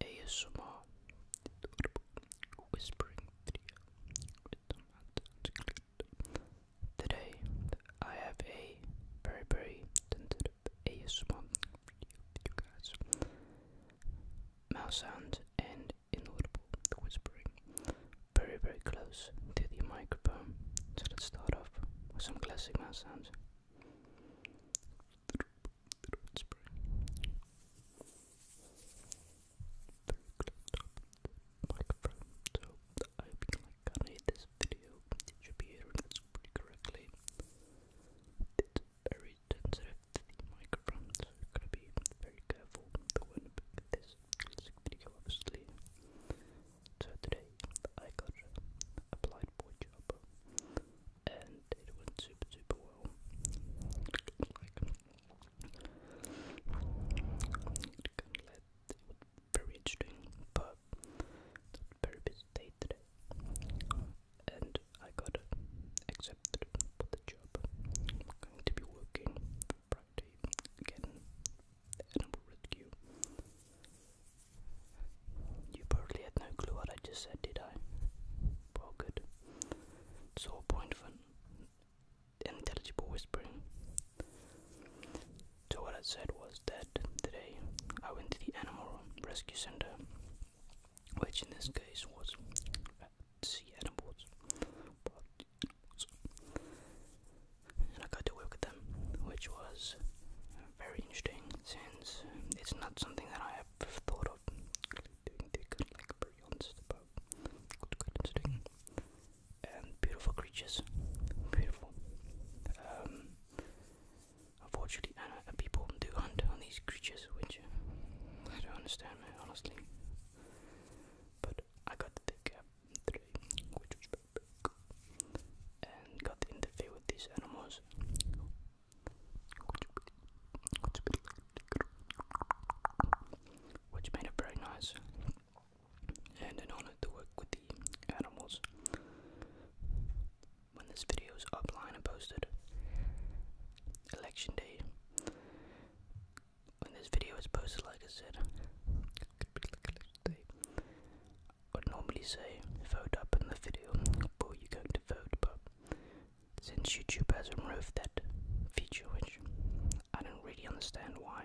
ASMR Whispering Today I have a very very tentative ASMR Mouse sound and inaudible whispering very very close to the microphone. So let's start off with some classic mouse sounds spray. Very close up I hope you like kind this video. It should be hearing correctly. It's very sensitive to the microphone, so to be very careful. The one this classic video, obviously. So today I got applied for a job, and it went super super well. Like, very interesting, but very busy day today, and I got accepted for the job. going to be working Friday again, animal rescue. You probably had no clue what I just said, did I? Well, good. It's all point for intelligible whispering. So, what I said was that today I went to the animal rescue center, which in this case was sea animals and I got to work with them, which was very interesting since it's not something that I have thought of doing good, like very honest about good instinct and beautiful creatures, beautiful. Um, unfortunately, uh, people do hunt on these creatures, which I don't understand, honestly. But I got the big cap today, which was and got to interfere with these animals. Which made it very nice and an honor to work with the animals. When this video is upline and posted, election day. When this video is posted, like I said, would normally say vote up in the video before you go to vote, but since YouTube has removed that feature, which I don't really understand why,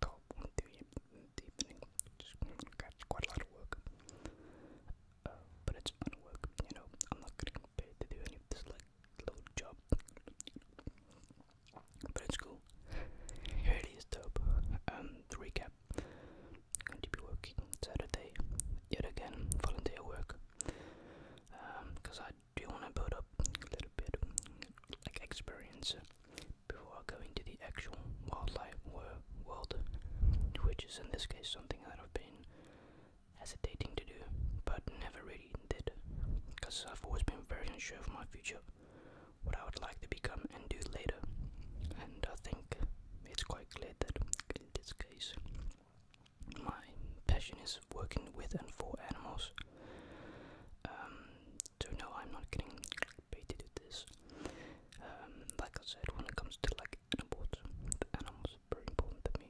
till one three in the evening. to got quite a lot of work. Uh, but it's fun work, you know. I'm not getting paid to do any of this like little job. But it's cool. Here it is dope. Um recap. Going to be working Saturday yet again, volunteer work. Um, because I do want to build up a little bit of, like experience before going to the actual wildlife world, which is in this case something that I've been hesitating to do, but never really did, because I've always been very unsure of my future, what I would like to become and do later, and I think it's quite clear that in this case, my passion is working with and for animals. Um, so no, I'm not getting baited at this. Um, like I said, when it comes to like animals, animals are very important to me.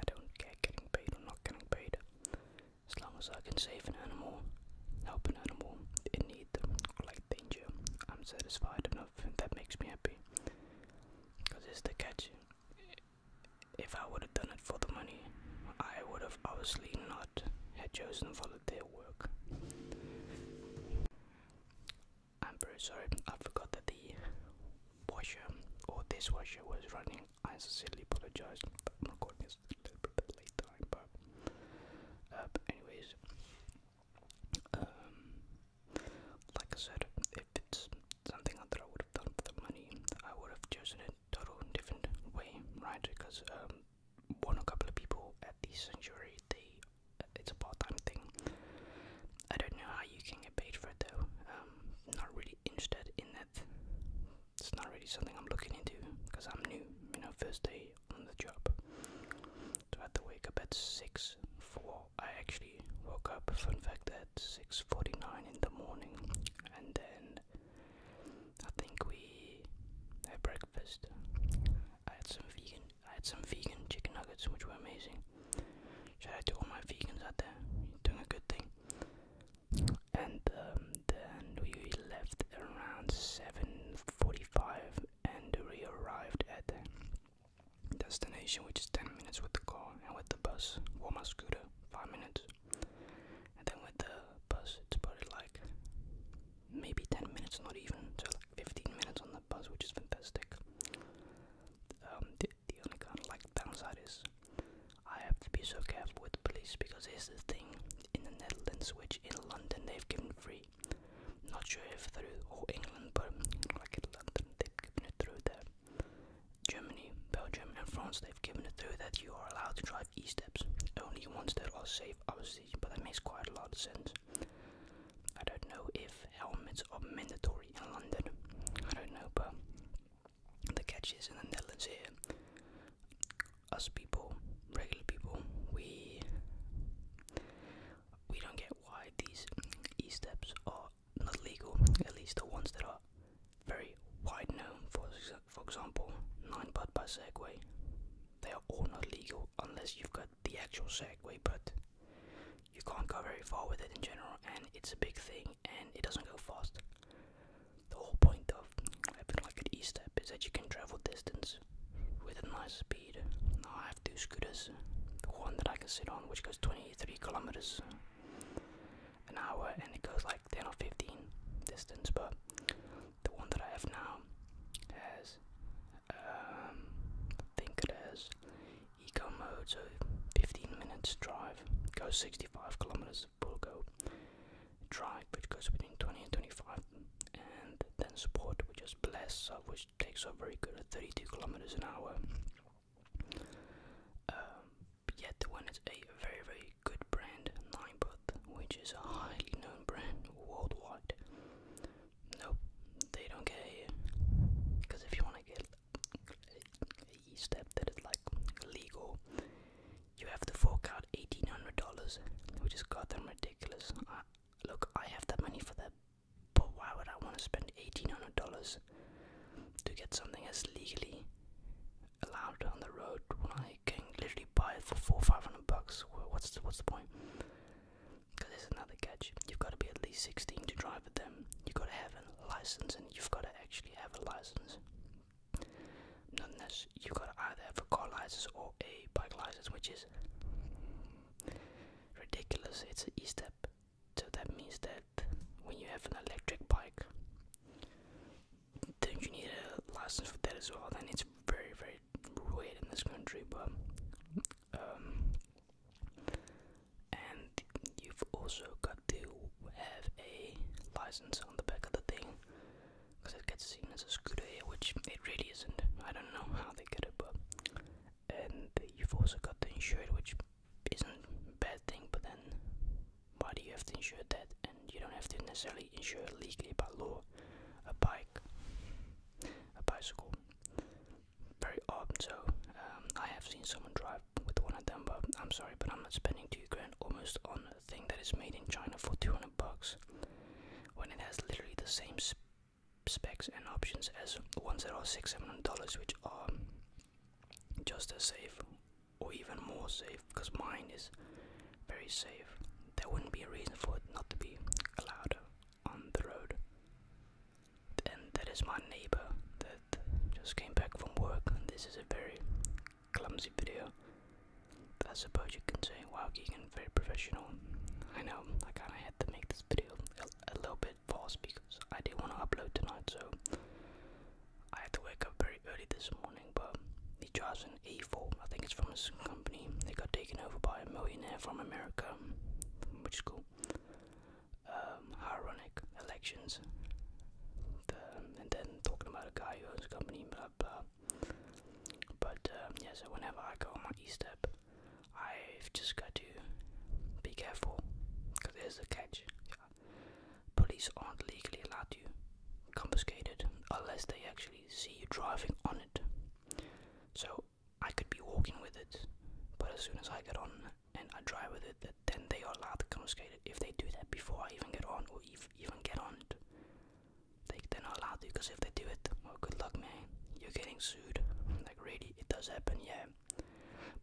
I don't care getting paid or not getting paid. As long as I can save an animal, help an animal in need or like danger, I'm satisfied enough and that makes me happy. Cause it's the catch. If I would have done it for the money, I would have obviously not had chosen volunteer work. I'm very sorry, I forgot that the washer or this washer was running. I sincerely apologize. I'm recording this a little bit late uh, but, anyways, um, like I said, if it's something I would have done the money, I would have chosen it total different way, right? Because um, one or couple of people at the sanctuary, they it's a part-time thing. I don't know how you can get paid for it though. Um, not really interested in that. It's not really something I'm looking into because I'm new. You know, first day on the job. So I had to wake up at six. For I actually woke up. Fun fact that six forty-nine in the morning, and then I think we had breakfast. I had some vegan. I had some vegan chicken nuggets, which were amazing. Shout out to all my vegans out there. You're doing a good thing. And um, then we left around seven forty-five, and we arrived at the destination, which is ten minutes with the car and with the bus One my scooter, five minutes. And then with the bus, it's probably like maybe 10 minutes, not even, so like 15 minutes on the bus, which is fantastic. Um, the, the only kind of like downside is I have to be so careful with the police because here's the thing in the Netherlands, which in London they've given free. Not sure if through all England, but like in London they've given it through there. Germany, Belgium, and France, they've given it through that you are allowed to drive e steps only ones that are safe, obviously, but that makes quite a lot of sense. I don't know if helmets are mandatory in London, I don't know, but the catch is in the Netherlands here, us people, regular people, we we don't get why these e steps are not legal, at least the ones that are very wide known, for, for example, 9 putt by Segway. They are all not legal unless you've got the actual Segway, but you can't go very far with it in general, and it's a big thing and it doesn't go fast. The whole point of having like an E step is that you can travel distance with a nice speed. Now I have two scooters, one that I can sit on, which goes 23 kilometers an hour and it goes like 10 or 15 distance but the one that I have now has um, think it has eco mode so 15 minutes drive goes 65 kilometers will go drive which goes between 20 and 25 and then sport which is bless which takes a very good at 32 kilometers an hour um, yet when it's a very very good brand, Ninebot, which is a highly known brand worldwide. Nope, they don't care Because if you want to get a step that is like legal, you have to fork out $1,800, which is goddamn ridiculous. look, I have that money for that, but why would I want to spend $1,800 to get something as legally allowed on the road when I can literally buy it for four or five hundred bucks. What's the, what's the point? Because there's another catch. You've got to be at least 16 to drive with them. You've got to have a license, and you've got to actually have a license. Not unless you've got either a car license or a bike license, which is ridiculous. It's an e-step so that means that when you have an electric bike, then you need a license for that as well. And it's very, very weird in this country, but um, and you've also got to have a license on the back of the thing because it gets seen as a scooter here, which it really isn't. I don't know how they get it, but and you've also got the insured, which isn't bad thing, but then why do you have to insure that? And you don't have to necessarily insure legally by law a bike, a bicycle. Very odd. So um, I have seen someone drive with one of them, but I'm sorry, but I'm not spending two grand almost on a thing that is made in China for 200 bucks when it has literally the same specs and options as ones that are six, seven hundred dollars, which are just as safe or even more safe because mine is very safe. There wouldn't be a reason for it not to be allowed on the road. And that is my neighbor that just came back from work. This is a very clumsy video. I suppose you can say, wow, Keegan, very professional. I know, I kinda had to make this video a little bit bit fast because I did want to upload tonight, so I had to wake up very early this morning. But he drives an E4, I think it's from his company. They got taken over by a millionaire from America, which is cool. Um, ironic elections. and then talking about a guy who owns a company, blah blah. But um, so whenever I go on my E-step, I've just got to be careful because there's a catch. Police aren't legally allowed to confiscate it unless they actually see you driving on it. So I could be walking with it, but as soon as I get on and I drive with it, then they are allowed to confiscate it. If they do that before I even get on or even get on it, they, they're not allowed to because if they do it, well, good luck, man. You're getting sued. Like, really, it does happen, yeah.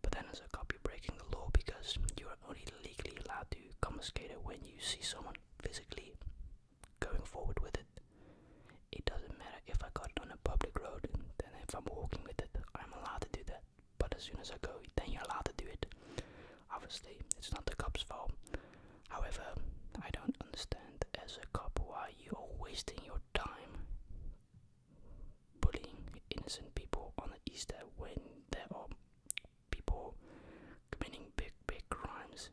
But then that is a copy breaking the law because you are only legally allowed to confiscate it when you see someone physically going forward with it. It doesn't matter if I got it on a public road, then if I'm walking with it, I'm allowed to do that. But as soon as I go, then you're allowed to do it. Obviously, it's not the cop's fault. However, I don't understand as a cop why you are wasting your time bullying innocent people on the Easter when there are people committing big, big crimes,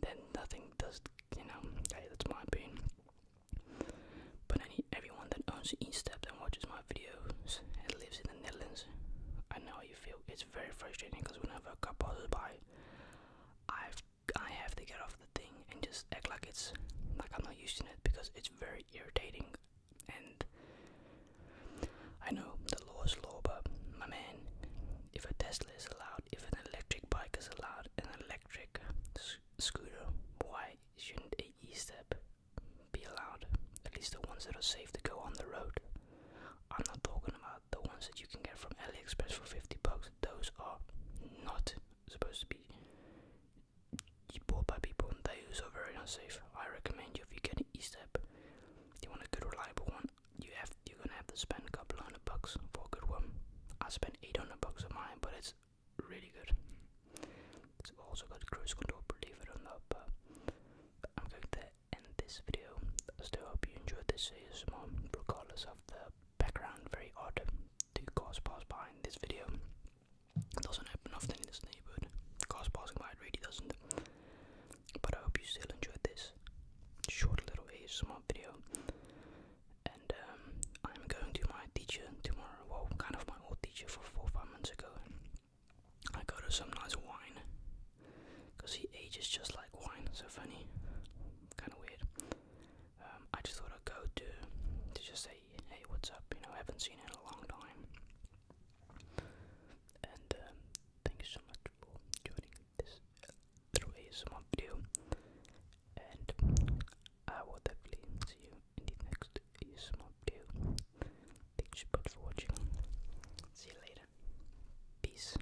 then nothing does, you know, okay, that's my opinion. But any, everyone that owns an e-step and watches my videos and lives in the Netherlands, I know how you feel. It's very frustrating because whenever a car passes by, I have I have to get off the thing and just act like it's like I'm not using it because it's very irritating. And I know the law is law, but my man, if a Tesla is allowed, if an electric bike is allowed, an electric scooter, why shouldn't a e-step be allowed? At least the ones that are safe to go on the road. I'm not talking about the ones that you can get from AliExpress for 50 bucks. Those are not supposed to be bought by people those are very unsafe. I recommend you if you get an e-step, you want a good reliable one, you have you're gonna have to spend a couple hundred bucks for a good one. I spent eight hundred bucks on mine, but it's really good. It's also got cruise control, believe it or not, but I'm going to end this video. I still hope you enjoyed this ASMR regardless of the background very odd. Two cars pass by in this video. It doesn't happen often in this neighborhood. Cars passing by, it really doesn't. But I hope you still enjoyed this short little ASMR video. And um, I'm going to my teacher tomorrow. Well, kind of my old teacher for four five months ago. I got her some nice wine. Because he ages just like wine. So funny. Kind of weird. Um, I just thought I'd go to to just say, hey, what's up? You know, I haven't seen it in a long time. And um, thank you so much for joining this little ASMR video. And I will definitely see you in the next ASMR video. Thank you so for watching. See you later. Peace.